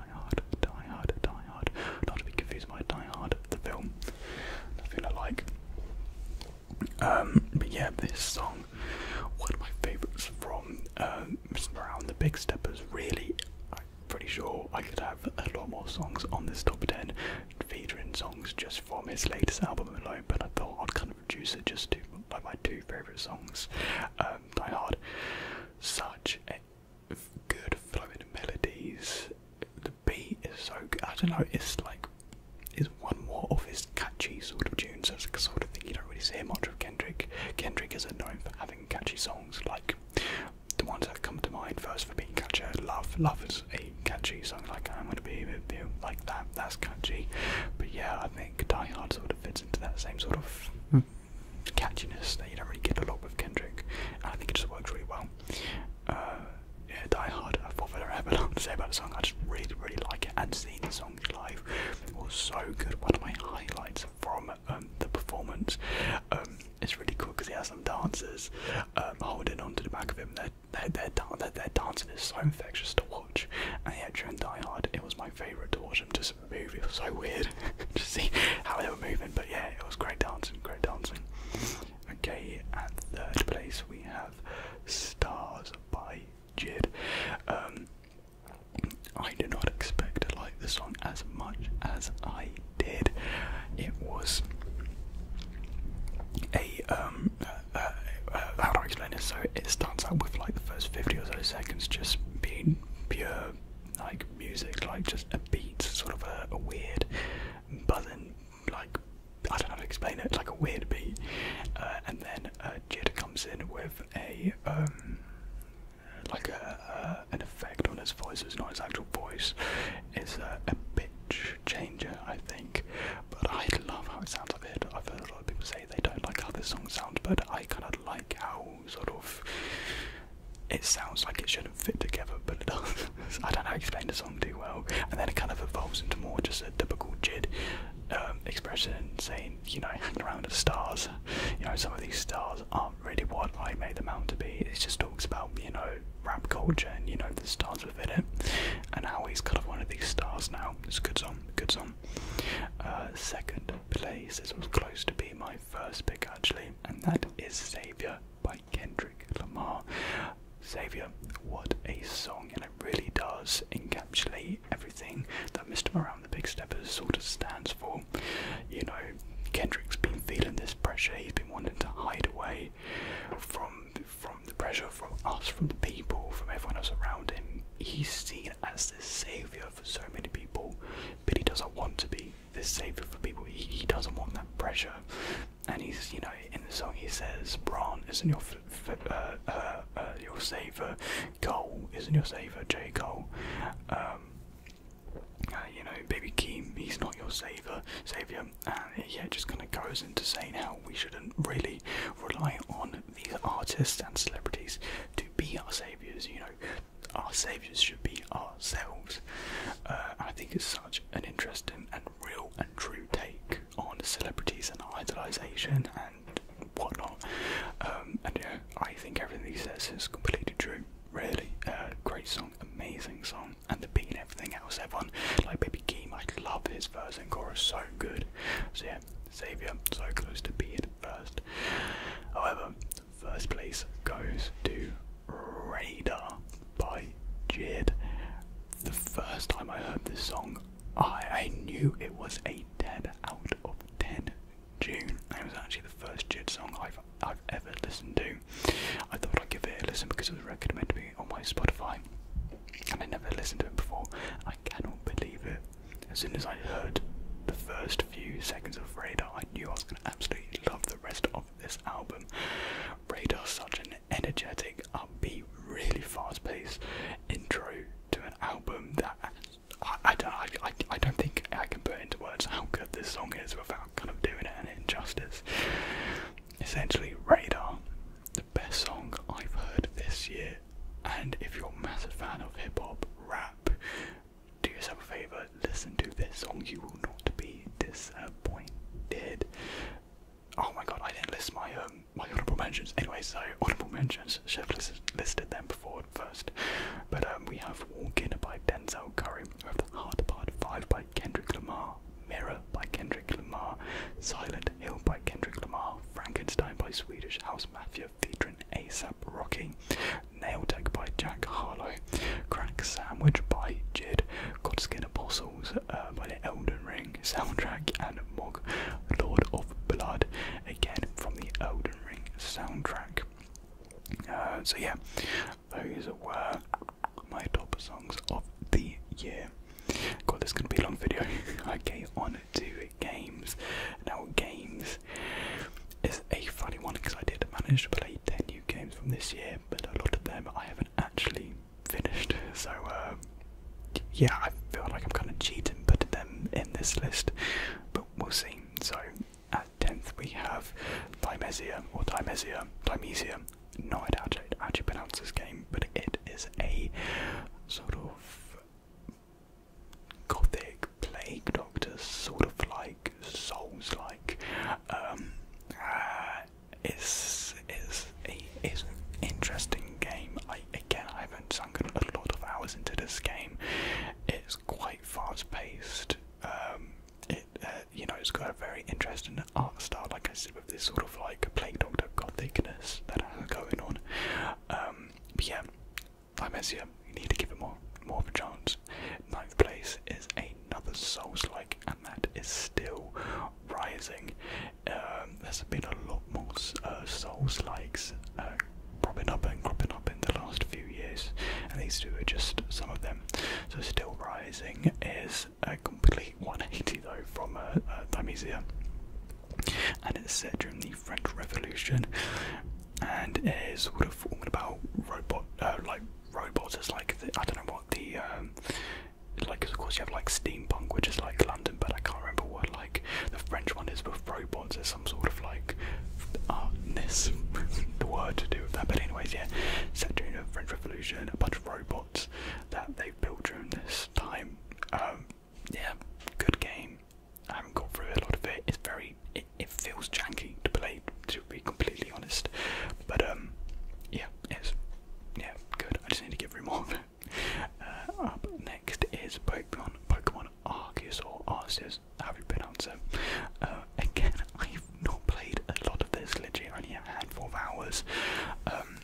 Die Hard, Die Hard, Die Hard. Not to be confused by Die Hard, the film. Nothing I um, but yeah, this song, one of my favourites from um, around the Big step is Really, I'm pretty sure I could have a lot more songs on this top ten featuring songs just from his latest album alone. But I thought I'd kind of reduce it just to like my two favourite songs, um, Die Hard such good flowing melodies. The beat is so good. I don't know. It's like it's one more of his catchy sort of tunes. That's the sort of thing you don't really hear much of Kendrick. Kendrick is known for having catchy songs like the ones that come to mind first for being catchy. Love, love is a catchy song. Like I'm gonna be with you, like that. That's catchy. But yeah, I think Die Hard sort of fits into that same sort of hmm catchiness that you don't really get a lot with Kendrick, and I think it just works really well. Uh, yeah, Die Hard, I thought I ever long to say about the song, I just really, really like it, and seeing the song live was so good. One of my highlights from um, the performance, um, it's really cool because he has some dancers um, holding onto the back of him, they're, they're, dancing is so infectious to watch, and to during Die Hard, it was my favourite to watch him just this It was so weird [laughs] to see how they were moving, but yeah, it was great dancing, great dancing. Okay, at third place we have Stars by Jid. Um, I did not expect to like this song as much as I did. It was a um, uh, uh, uh, how do I explain this? So it starts out with like the first fifty or so seconds just being pure like music, like just a beat, sort of a, weird buzzing, like I don't know how to explain it, it's like a weird beat. Uh, and then uh, Jid comes in with a um, like a, an effect on his voice. It's not his actual voice. It's a pitch changer, I think. But I love how it sounds. I've I've heard a lot of people say they don't like how this song sounds, but I kind of like how sort of. It sounds like it shouldn't fit together, but it does. [laughs] I don't know how explain the song too well. And then it kind of evolves into more just a typical Jid um, expression saying, you know, hanging around the stars. You know, some of these stars aren't really what I made them out to be. It just talks about, you know, rap culture and, you know, the stars within it. And how he's kind of one of these stars now. It's a good song, good song. Uh, second place, this was close to be my first pick actually, and that is Savior by Kendrick Lamar. Savior, what a song, and it really does encapsulate everything that Mr. Around the Big step has sort of stands for. You know, Kendrick's been feeling this pressure, he's been wanting to hide away from from the pressure from us, from the people, from everyone else around him. He's seen as this savior for so many people, but he doesn't want to be the savior for people. He, he doesn't want that pressure. And he's, you know, in the song he says, Bran isn't your uh, uh, uh, your savior, Cole isn't your savior, J. Cole. Um, you know, baby Keem, he's not your savior, savior, and yeah, just kind of goes into saying how we shouldn't really rely on these artists and celebrities to be our saviors. You know, our saviours should be ourselves. Uh, I think it's such an interesting and real and true take on celebrities and idolization and whatnot. Um, and yeah, I think everything he says is completely true. Really, uh, great song, amazing song, and the beat and everything else. Everyone like Baby Keem, I love his verse and chorus, so good. So yeah, Saviour, so close to being first. However, First place goes to Radar by Jid. The first time I heard this song, I, I knew it was a dead out of 10 June. It was actually the first Jid song I've, I've ever listened to. I thought I'd give it a listen because it was recommended to me on my Spotify. And I never listened to it before. I cannot believe it. As soon as I heard the first few seconds of Radar, I knew going to absolutely love the rest of this album. Radar's such an energetic, upbeat, really fast paced intro to an album that I, don't, I, I, I don't think I can put into words how good this song is without kind of doing it an injustice. Essentially, Radar, the best song I've heard this year. And if you're a massive fan of hip hop, rap, do yourself a favor, listen to this song. You will not be disappointed. Oh my god, I didn't list my um my honorable mentions. Anyway, so honorable mentions. Should have listed, them before first. But um, we have Walking by Denzel Curry. We have The Hard Part Five by Kendrick Lamar. Mirror by Kendrick Lamar. Silent Hill by Kendrick Lamar. Frankenstein by Swedish House Mafia featuring ASAP Rocky, Nail Tech by Jack Harlow, Crack Sandwich by Jid, Godskin Apostles uh, by the Elden Ring soundtrack, and Mog Lord of Blood, again from the Elden Ring soundtrack. Uh, so, yeah, those were my top songs of the year. God, this is going to be a long video. [laughs] okay, on to games. Now, games is a funny one because I did manage to play ten new games from this year, but a lot of them I haven't actually finished. [laughs] So um, yeah, I feel like I'm kind of cheating putting them in this list, but we'll see. So at tenth we have Dimesia or Dimesia, Dimesia. No I don't actually pronounce this game, but it is a sort of gothic plague Doctor, sort of like souls like. Um, uh, it's, it's, a, it's interesting game. I, again, I haven't sunk a lot of hours into this game. It's quite fast paced. Um, it, uh, you know, it's got a very interesting art style, like I said, with this sort of like plague doctor gothicness that has going on. Um, but yeah, I you. need to give it more, more of a chance. Ninth place is another Souls-like, and that is still rising. Um, there's been a lot more uh, Souls-likes uh, cropping up and cropping up in the last few years, and these two are just some of them. So still rising is a complete 180 though from uh, uh And it's set during the French Revolution, and it is sort of talking about robot uh, like robots as like the, I don't know what the um, like of course you have like steampunk which is like London but I can't remember what like the French one is with robots It's some sort of like artness [laughs] the word to do with that but anyways yeah set during the French Revolution a bunch of robots that they built during this time um, yeah good game I haven't got through a lot of it it's very it, feels janky to play to be completely honest. But um yeah, it's yeah, good. I just need to give her more of it. Uh, up next is Pokemon Pokemon Arceus or Arceus, how you pronounce it. Uh, again, [laughs] I've not played a lot of this, literally only a handful of hours. Um,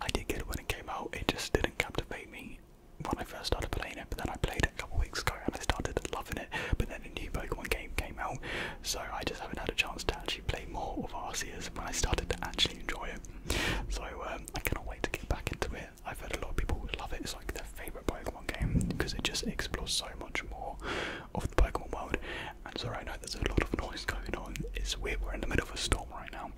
I did get it when it came out, it just didn't captivate me when I first started playing it, but then I played it a couple weeks ago and I started loving it, but then a new Pokemon game came out, so I just haven't had a chance to actually play more of Arceus when I started to actually enjoy it. So um, I cannot wait to get back into it. I've heard a lot of people love it, it's like their favourite Pokemon game because it just explores so much more of the Pokemon world. And sorry, I know there's a lot of noise going on, it's weird, we're in the middle of a storm right now.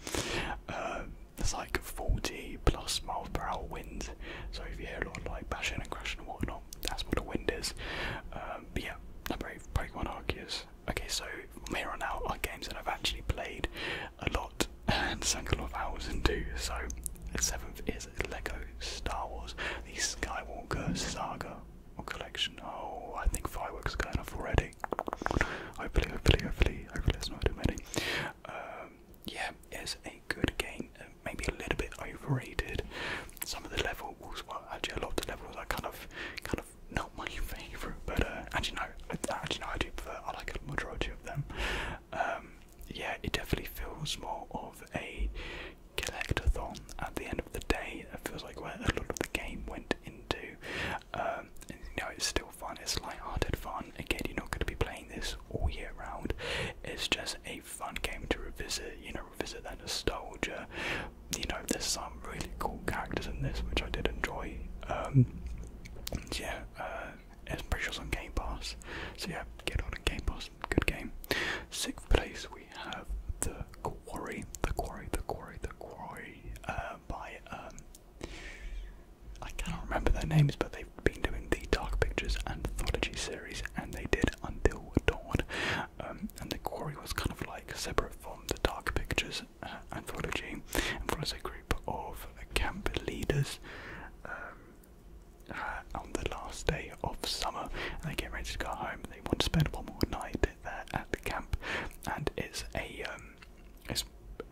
Uh, there's like 40 plus miles per hour winds, so if you hear a lot of like bashing and crashing and whatnot, that's what a wind is. Um, yeah, I'm very Pokemon Arceus. Okay, so from here on out are games that I've actually played a lot [laughs] and sunk a lot of hours into. So seventh is Lego Star Wars, the Skywalker Saga or collection. Oh, I think fireworks are going already. Hopefully, hopefully, hopefully, hopefully, it's not too many. Um, yeah, it's a good game, uh, maybe a little bit overrated. Some of the levels, well, actually a lot of the levels are kind of, kind of not my [laughs] favourite. But uh, actually no, actually no, I do prefer. I like a majority of them. Um, yeah, it definitely feels more of a collectathon at the end of the day. It feels like where a lot of the game went into. Um, you know, it's still fun. It's light-hearted fun. Again, you're not going to be playing this all year round. It's just a fun game to revisit, you know, revisit that nostalgia. You know, there's some really cool characters in this which I did enjoy. Um, yeah, uh, it's pretty sure on Game Pass. So yeah, get on a Game Pass, good game. Sixth place we have The Quarry, The Quarry, The Quarry, The Quarry uh, by, um, I cannot remember their names, but they've been doing the Dark Pictures anthology series and they did Until dawn, um, and the quarry was kind of like separate from the Dark Pictures uh, anthology, and follows a group of camp leaders um, uh, on the last day of summer. And they get ready to go home. They want to spend one more night there at the camp, and it's a um, it's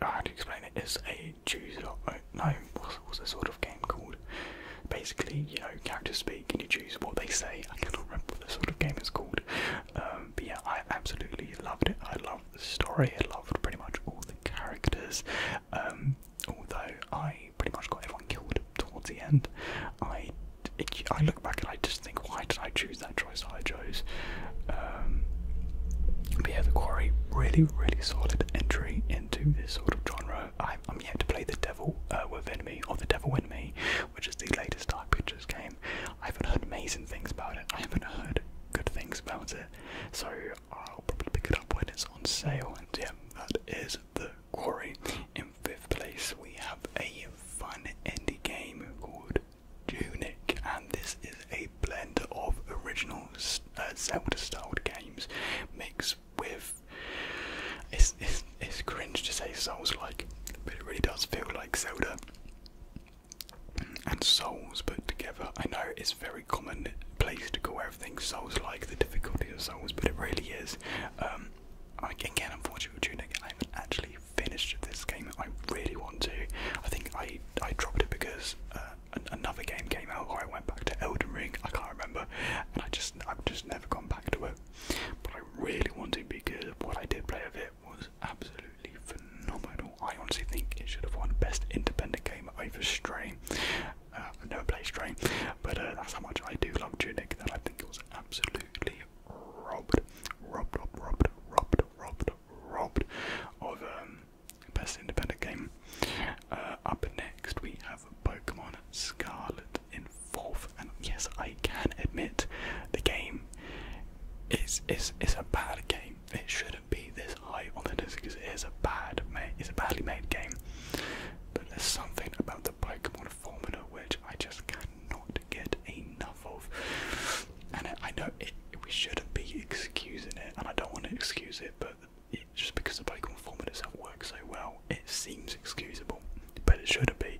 how do you explain it? It's a choose uh, No, what's, what's the sort game called. Basically, you know, characters speak and you choose what they say. I cannot remember what the sort of game is called. Um, but yeah, I absolutely loved it. I loved the story. I loved pretty much all the characters. Um, although I pretty much got everyone killed towards the end. I, I look back and I just think, why did I choose that choice I chose? Um, but yeah, The Quarry, really, really solid entry into this sort of genre I'm, yet to play the Devil uh, Within Me or the Devil Within Me, which is the latest Dark Pictures game. I haven't heard amazing things about it. I haven't heard good things about it. So I'll probably pick it up when it's on sale. And yeah, that is the quarry. In fifth place, we have a fun indie game called Tunic, and this is a blend of original uh, Zelda-styled games mixed with it's, it's, it's cringe to say Souls like, but it really does feel like soda. and Souls put together. I know it's very common place to call everything Souls like, the difficulty of Souls, but it really is. Um, I, again, unfortunately, Tunic, I haven't actually finished this game. I really want to. I think I, I dropped it because uh, another game came out, or I went back to Elden Ring. I can't remember, and I just I've just never gone back. But I really wanted because what I did play of it was absolutely phenomenal. I honestly think it should have won Best Independent Game over Stray. Uh, i never played Stray, but uh, that's how much I do love Tunic that I think it was absolutely robbed, robbed, robbed, robbed, robbed, robbed, of the um, Best Independent Game. Uh, up next we have Pokemon Scarlet in fourth. And yes, I can admit the game is is is a bad game. It shouldn't be this high on the list because it is a bad made, it's a badly made game. But there's something about the Pokemon formula which I just cannot get enough of. And I know we shouldn't be excusing it, and I don't want to excuse it, but. It, just because the Pokemon format itself works so well, it seems excusable, but it shouldn't be.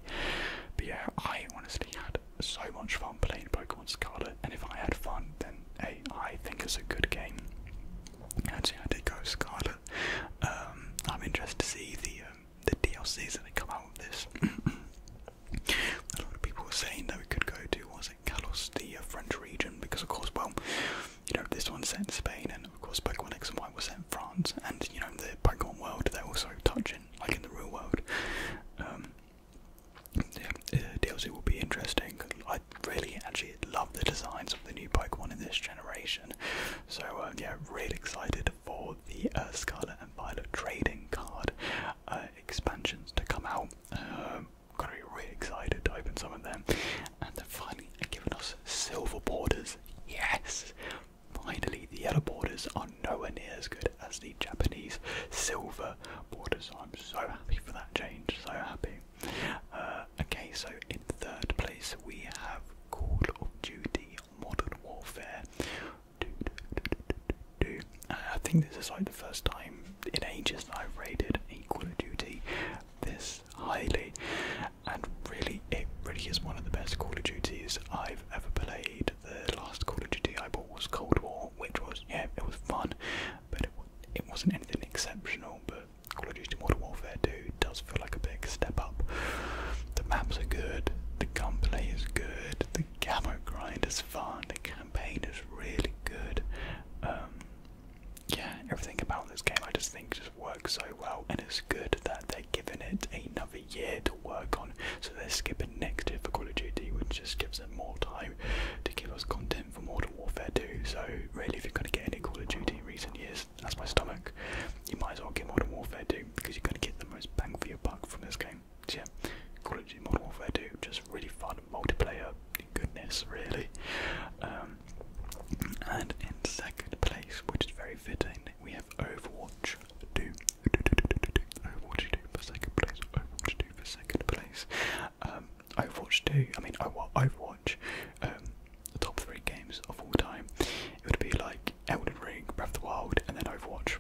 But yeah, I honestly had so much fun playing Pokemon Scarlet, and if I had fun, then hey, I think it's a good game. Actually, I did go Scarlet. Um, I'm interested to see the um, the DLCs that they come out of this. [clears throat] a lot of people were saying that we could go to was it Kalos, the uh, French region, because of course, well, you know, this one set in Spain, and of course, Pokemon X and Y was set in France, and you know, the Pokemon world, they're also touching, like in the real world. Um, yeah, uh, DLC will be interesting. I really actually love the designs of the new Pokemon in this generation, so uh, yeah, really excited for the uh, Scarlet and Violet trading card uh, expansions to come out. Um, Gonna be really excited to open some of them, and finally they've given us silver borders. Yes! Finally, the yellow borders are nowhere near as good as the Japanese silver borders. I'm so happy for that change, so happy. Uh, okay, so in third place we have Call of Duty Modern Warfare. Uh, I think this is like the first time in ages that I've rated Call of Duty. This highly, and really, it really is one of the best Call of Duties I've ever played. The last Call of Duty I bought was Cold War, which was yeah, it was fun, but it, it wasn't anything exceptional. But Call of Duty Modern Warfare 2 does feel like a big step up. The maps are good, the gunplay is good, the camera grind is fun, the campaign is really good. Um, yeah, everything about this game I just think Work so well, and it's good that they're giving it another year to work on. So they're skipping next year for Call of Duty, which just gives them more time to give us content for Modern Warfare 2. So really, if you're going to get any Call of Duty in recent years, that's my stomach. You might as well get Modern Warfare 2 because you're going to get the most bang for your buck from this game. So yeah, Call of Duty Modern Warfare 2, just really fun multiplayer goodness, really. Um, and in second place, which is very fitting, we have Overwatch 2. Overwatch 2 for second place. Overwatch 2 for second place. Um, Overwatch 2, I mean, Overwatch, um, the top three games of all time. It would be like Elden Ring, Breath of the Wild, and then Overwatch.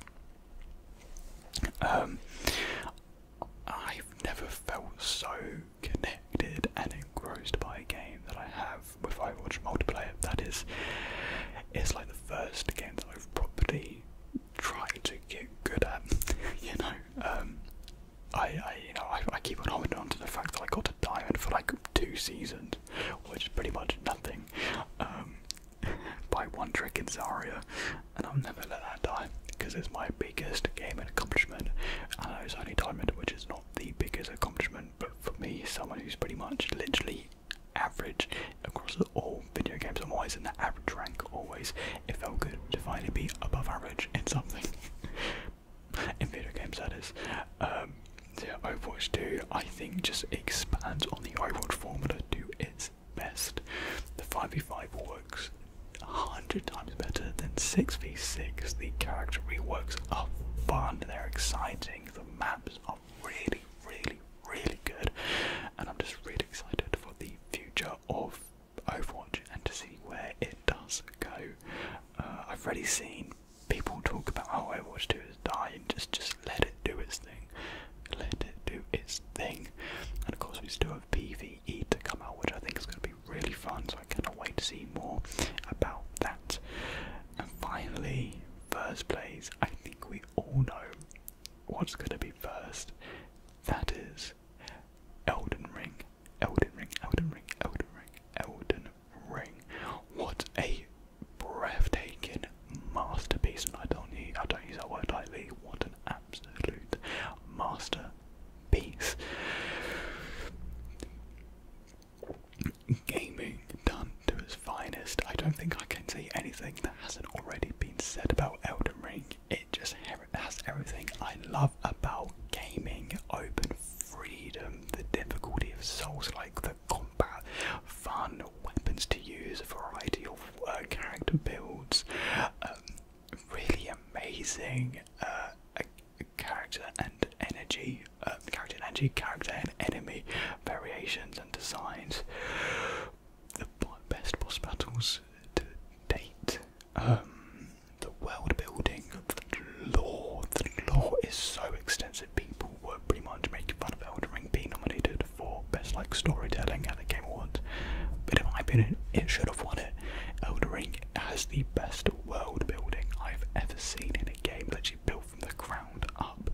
Um, I've never felt so connected and engrossed by a game that I have have with Overwatch multiplayer. That is, it's like the first game that I've properly tried to get good at. [laughs] You know, um, I, I, you know, I, I keep on holding on to the fact that I got a diamond for like two seasons, which is pretty much nothing. Um, [laughs] by one trick in Zarya, and i have never let that die because it's my biggest gaming accomplishment. I know it's only diamond, which is not the biggest accomplishment, but for me, someone who's pretty much literally average across all video games, I'm always in the average rank. Always, it felt good to finally be above average in something. [laughs] in video games, that is. Um, yeah, 2, I think, just expands on the Overwatch formula to its best. The 5v5 works 100 times better than 6v6. The character reworks are fun, they're exciting, the maps are really, really, really good, and I'm just really excited for the future of Overwatch and to see where it does go. Uh, I've already seen people talk about how oh, Overwatch 2 is dying, just, just let it do its thing, let it do its thing, and of course we still have PvE to come out, which I think is going to be really fun, so I cannot wait to see more about that. And finally, first place. I think we all know what's going to be first. That is Elden Ring. Elden Ring, Elden Ring, Elden Ring, Elden Ring. What a breathtaking masterpiece. And I don't, use, I don't use that word lightly. What an absolute masterpiece gaming done to its finest. I don't think I can say anything that hasn't already been said about Elden Ring. It just has everything I love about gaming open freedom, the difficulty of souls like the combat, fun, weapons to use, a variety of uh, character builds. Um, really amazing uh, character and energy um, character and anti character and enemy variations and designs. The best boss battles to date. Um, the world building, the lore. The lore is so extensive. People were pretty much making fun of Elden Ring being nominated for best like storytelling at the Game Awards. But in my opinion, it should have won it. Elden Ring has the best world building I've ever seen in a game. that she built from the ground up.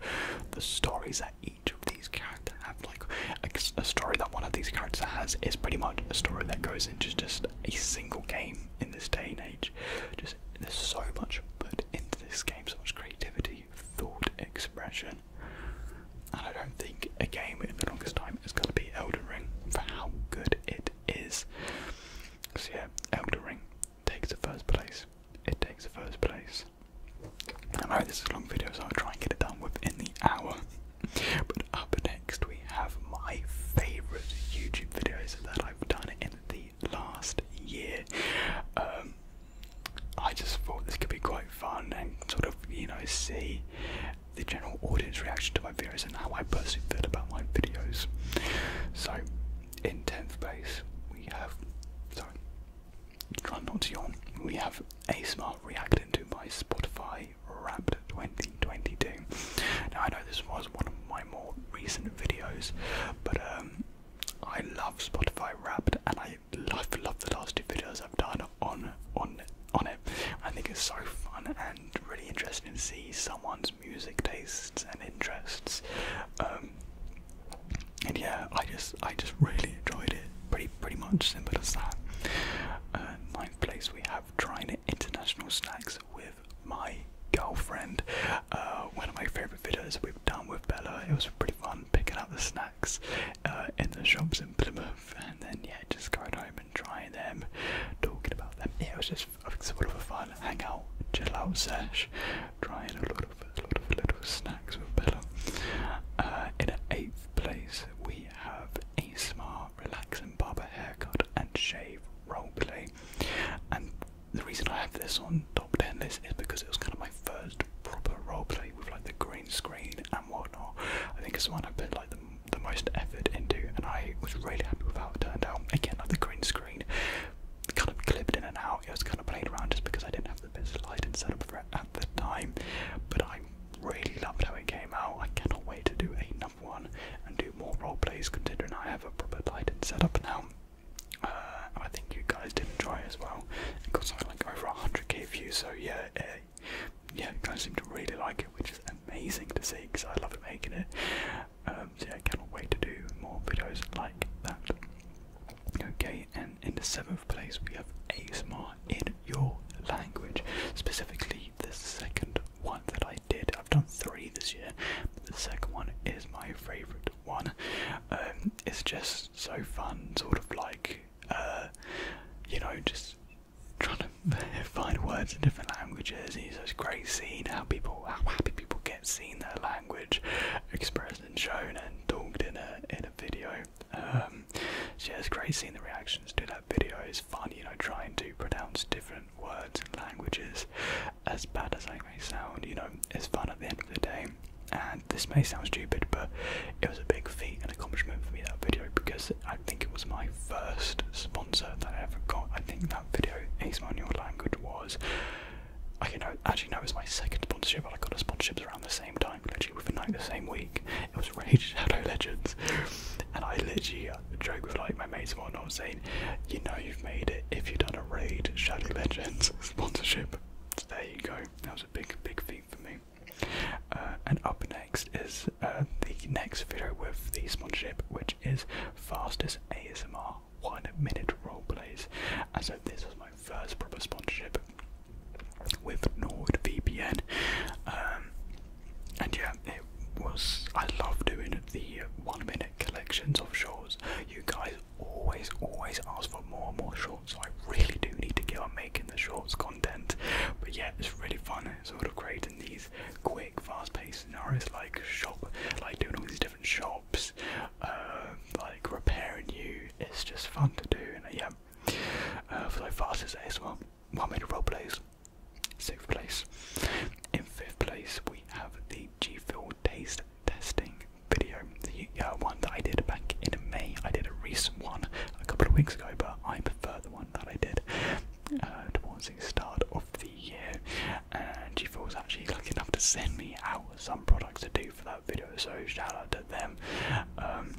The stories that each of these characters have, like a, a story that one of these characters has, is pretty much a story that goes into just a single game in this day and age. Just there's so much put into this game, so much creativity, thought, expression. And I don't think a game in the longest time is going to be Elden Ring for how good it is. So yeah, Elden Ring takes the first place. It takes the first place. Alright, this is a long video, so I'll try and get it done within the hour. [laughs] but up next, we have my favourite YouTube videos that I've done in the last year. Um, I just thought this could be quite fun and sort of, you know, see the general audience reaction to my videos and how I personally feel about my videos. So, in 10th place, we have. So, not to We have ASMR reacted to my Spotify Wrapped 2022. I know this was one of my more recent videos, but um, I love Spotify Wrapped, and I love the last two videos I've done on on on it. I think it's so fun and really interesting to see someone's music tastes and interests. Um, and yeah, I just I just really enjoyed it. Pretty pretty much simple as that. Uh, ninth place, we have trying international snacks with my girlfriend. Uh, one of my favorite videos we've done with Bella. It was pretty fun picking out the snacks uh, in the shops in Plymouth, and then yeah, just going home and trying them, talking about them. Yeah, it was just a sort of a fun hangout, chill out sesh. Trying a lot of a lot of little snacks with Bella. Uh, in eighth place, we have a smart, relaxing barber haircut and shave roleplay. And the reason I have this on top ten list is because it was kind of my first proper roleplay with like the green screen and whatnot. I think it's one I put like the, the most effort into, and I was really happy with how it turned out. Again, like the green screen kind of clipped in and out. I was kind of playing around just because I didn't have the best lighting setup for it at the time. But I really loved how it came out. I cannot wait to do a number one and do more role plays considering I have a proper lighting up now. Uh, I think you guys did enjoy as well. It got something like over 100k views, so yeah, uh, yeah, you guys seem to really like it, which is amazing to see because I love making it. Um, so yeah, I cannot wait to do more videos like that. Okay, and in the seventh place we have ASMR in your language. Specifically, the second one that I did. I've done three this year, the second one is my favourite one. Um, it's just so fun, sort of like, uh, you know, just trying to [laughs] find words in different languages. It's just great seeing how people, how happy people get seeing their language, expressed. And shown and talked in a in a video. Um, so yeah, it's great seeing the reactions to that video. It's fun, you know, trying to pronounce different words and languages, as bad as I may sound. You know, it's fun at the end of the day. And this may sound stupid, but it was a big feat and accomplishment for me that video because I think it was my first sponsor that I ever got. I think that video, Ismail Language, was Okay, no, actually, no, it was my second sponsorship, but I got a sponsorship around the same time, literally within like the same week. It was raid [laughs] Shadow Legends, and I literally uh, joked with like my mates and whatnot, saying, "You know, you've made it if you've done a Raid Shadow [laughs] Legends sponsorship." So there you go. That was a big, big thing for me. Uh, and up next is uh, the next video with the sponsorship, which is fastest ASMR one minute role plays, And so this was my first proper sponsorship with NordVPN. Um, and yeah, it was. I love doing the one minute collections of shorts. You guys always, always ask for more and more shorts, so I really do need to get on making the shorts content. But yeah, it's really fun sort of creating these quick, fast paced scenarios like shop, like doing all these different shops, uh, like repairing you. It's just fun to do, and uh, yeah. for the fastest ASMR, one minute role plays, sixth place. In fifth place, we have the G Fuel taste testing video, the uh, one that I did back in May. I did a recent one a couple of weeks ago, but I prefer the one that I did uh, towards the start of the year. And G was actually lucky enough to send me out some products to do for that video, so shout out to them. Um,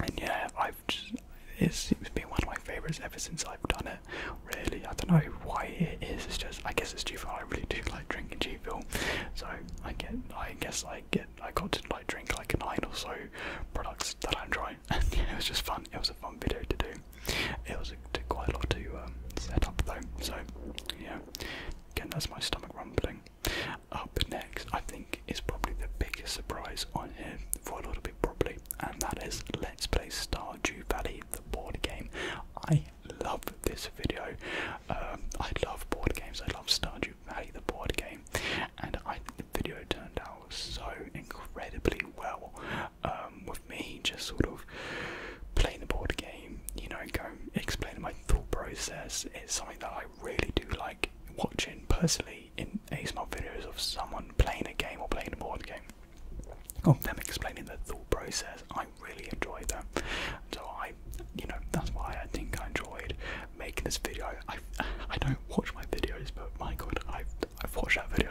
and yeah, I've just, it's been one of my favorites ever since I've done it. Really, I don't know why it is. It's just I guess it's G I really do like drinking G so I get I guess I get I got to like drink like nine or so products that I'm trying, [laughs] it was just fun. It was a fun video to do. It was a, quite a lot to um, set up though, so yeah. Again, that's my stomach rumbling. Up next, I think, is probably the biggest surprise on here for a little bit, probably, and that is Let's Play Stardew Valley, the board game. I love this video. Um, I love board games. I love Stardew Valley, the board game, and I think the video turned out so incredibly well um, with me just sort of playing the board game you know, go explain my thought process. It's something that I really do like watching personally in ASMR videos of someone playing a game or playing a board game. Of them explaining their thought process, I really enjoy them. So I, you know, that's why I think I enjoyed making this video. I, I don't watch my videos, but my god, I've, I've watched that video.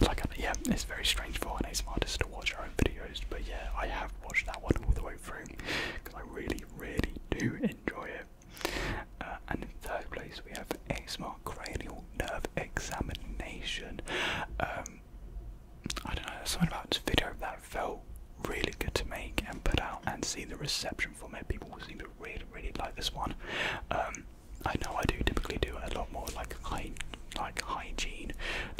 [laughs] like, yeah, it's very strange for an ASMR to watch our own videos, but yeah, I have watched that one all the way because I really, really do enjoy it. Uh, and in third place, we have a ASMR cranial nerve examination. Um, I don't know, something about this video that felt really good to make and put out and see the reception from it. People seem to really, really like this one. Um, I know I do typically do a lot more like high, like hygiene,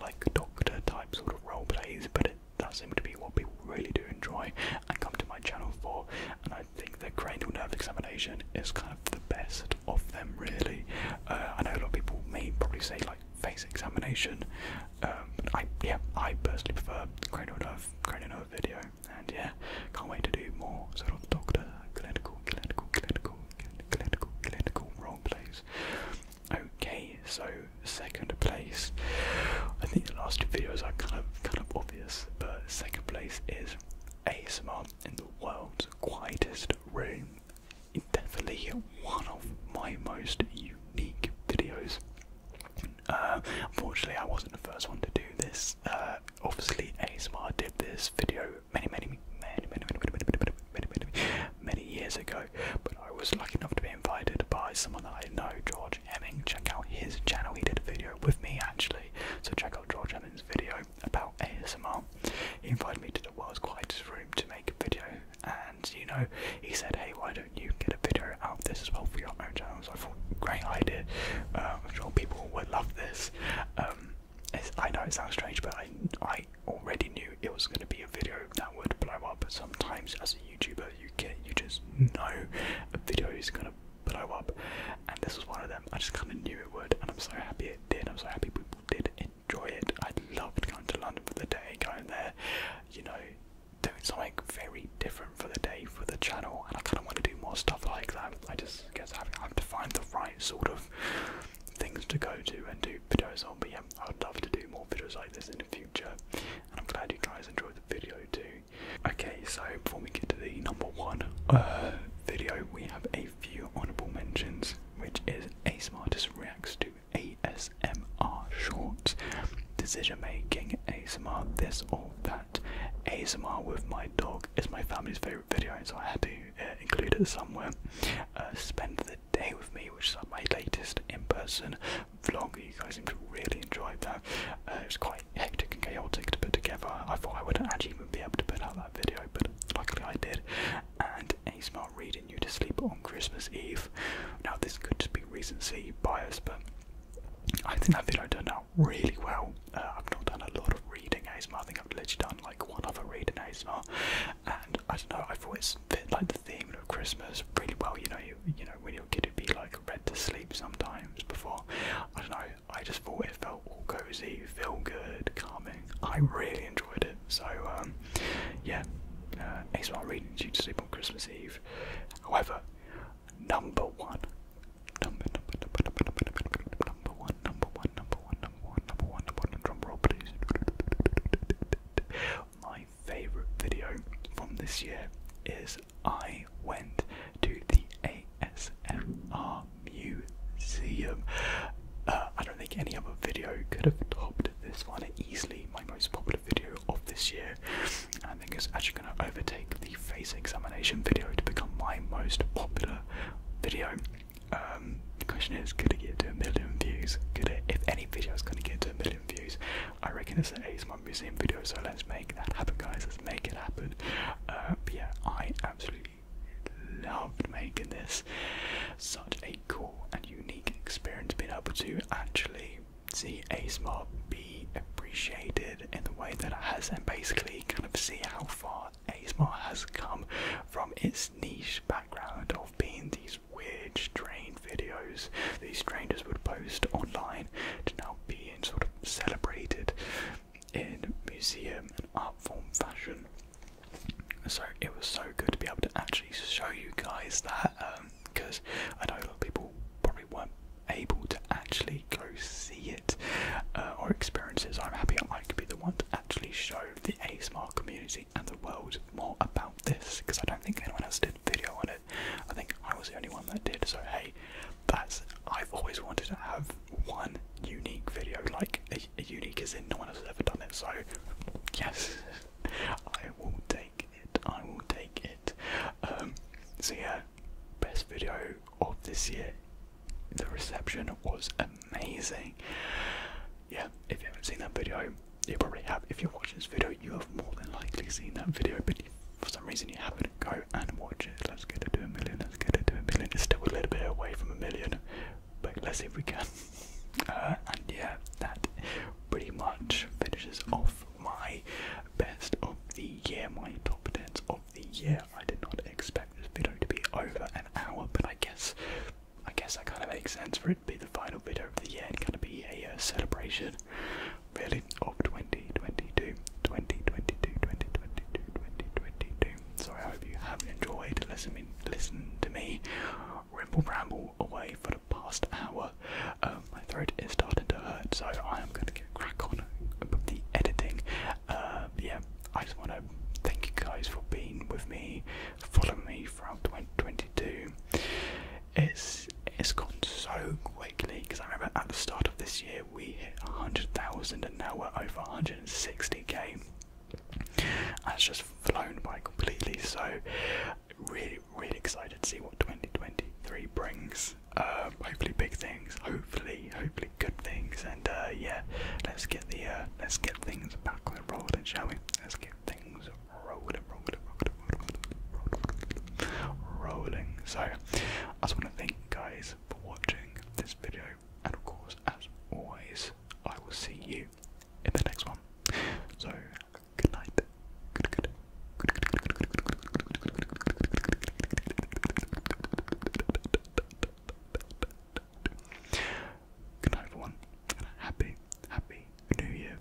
like doctor type sort of role plays, but it that seemed to be what people really do enjoy and come to my channel for. And I think the cranial nerve examination is kind of the best of them, really. Uh, I know a lot of people may probably say like face examination, um, but I yeah I personally prefer cranial nerve cranial nerve video. And yeah, can't wait to do more sort of doctor clinical clinical clinical clinical clinical role plays. Okay, so second place. I think the last two videos are kind of kind of obvious, but second place is ASMR in the world's quietest room. It's definitely one of my most unique videos. Uh, unfortunately, I wasn't the first one to do this. Uh, obviously, ASMR did this video many, many, many, many, many, many, many, many, many, many, many, many, many years ago but I was lucky enough to be invited by someone that I know, George Hemming. Check out his channel, he did a video with me actually, so check out George Hemming's video about ASMR. He invited me to the world's quietest room to make a video, and you know, he said, Hey, why don't you get a video out of this as well for your own channel? So I thought, Great idea, uh, I'm sure people would love this. Um, I know it sounds strange, but I, I already knew it was going to be a video that would blow up. Sometimes, as a YouTuber, you get you just know a video is gonna blow up, and this was one of them. I just kind of knew it would, and I'm so happy it did. I'm so happy people did enjoy it. I loved going to London for the day, going there, you know, doing something very different for the day for the channel, and I kind of want to do more stuff like that. I just guess I have to find the right sort of things to go to and do videos on. But yeah, I would love to do more videos like this in the future. I'm glad you guys enjoyed the video too. Okay, so before we get to the number one uh, video, we have a few honourable mentions, which is Ace Artist reacts to ASMR shorts, decision making, ASMR, this or that. ASMR with my dog is my family's favourite video, and so I had to uh, include it somewhere. Uh, spend the day with me, which is like my latest in-person vlog. You guys seem to really enjoy that. Uh, it was quite hectic and chaotic to put together. I thought I wouldn't actually even be able to put out that video, but luckily I did. And a smart reading you to sleep on Christmas Eve. Now this could just be recency bias, but I think that video turned out really well. Uh, I've not done a lot of reading ASMR, I think I've literally done like one other reading ASMR, and I don't know, i thought always fit like the theme of Christmas really well, you know, you know, when your kid would be like read to sleep sometimes before. I don't know, I just thought it felt all cozy, feel good, calming. I really enjoyed it. So, yeah, it's Ace One Reading to sleep on Christmas Eve. However, number one, number, number, number, number, number, number, number one, number one, number one, number one, number one, number one, number one, drum roll please my favourite video from this year is I went to the ASMR Museum. Uh, I don't think any other video could have topped this one. Easily my most popular video of this year. I think it's actually going to overtake the face examination video to become my most popular video. Um, the question is, could it get to a million views? Could it, if any video is going to get to a million views, I reckon it's an ASMR museum video, so let's make that happen, guys. Let's make it happen. Uh, yeah, I absolutely loved making this. Such a cool and unique experience being able to actually see ASMR be appreciated in the way that it has, and basically kind of see how far ASMR has come from its niche background of being these these weird, strange videos these strangers would post online to now be sort of celebrated in museum and art form fashion. So it was so good to be able to actually show you guys that because um, I know a lot of people probably weren't able to actually go see it uh, or experiences. I'm happy I could be the one to actually show the ASMR community and the world more about this because I don't think anyone else did video on it. I think I was the only one that did. So hey, that's I've always wanted to have one unique video, like a, unique as in no one has ever done it. So yes, [laughs] I will take it. I will take it. Um, so yeah, best video of this year. The reception was amazing. Yeah, if you haven't seen that video, you probably have. If you watch this video, you have more than likely seen that video, but for some reason you haven't. Go and watch it. Let's get it to a million. Let's get it to a million. It's still a little bit away from a million, but let's see if we can. [laughs] Uh, and yeah, that pretty much finishes off my best of the year, my top tens of the year. I did not expect this video to be over an hour, but I guess I guess that kind of makes sense for it to be the final video of the year and kind of be a uh, celebration really, of 2022. 2022, 2022, 2022. So I hope you have enjoyed listening, listening to me ramble ramble away for the past hour. Um, my throat is starting to hurt, so I am going to get crack on with the editing. Uh, yeah, I just want to thank you guys for being with me, following me from 2022 it's it's gone so quickly because I remember at the start of this year we hit 100,000 and now we're over 160k. it's just flown by completely. So really, really excited to see what 2023 brings. Um, hopefully big things. Hopefully, hopefully good things. And uh, yeah, let's get the uh, let's get things back on the rolling, shall we? Let's get things rolling, rolling, rolling, rolling, rolling. So, I just want to thank you guys for watching this video, and of course, as always, I will see you in the next one. So, good night. Good, good, good, good, good, good, good, good night, everyone, and a happy, happy new year.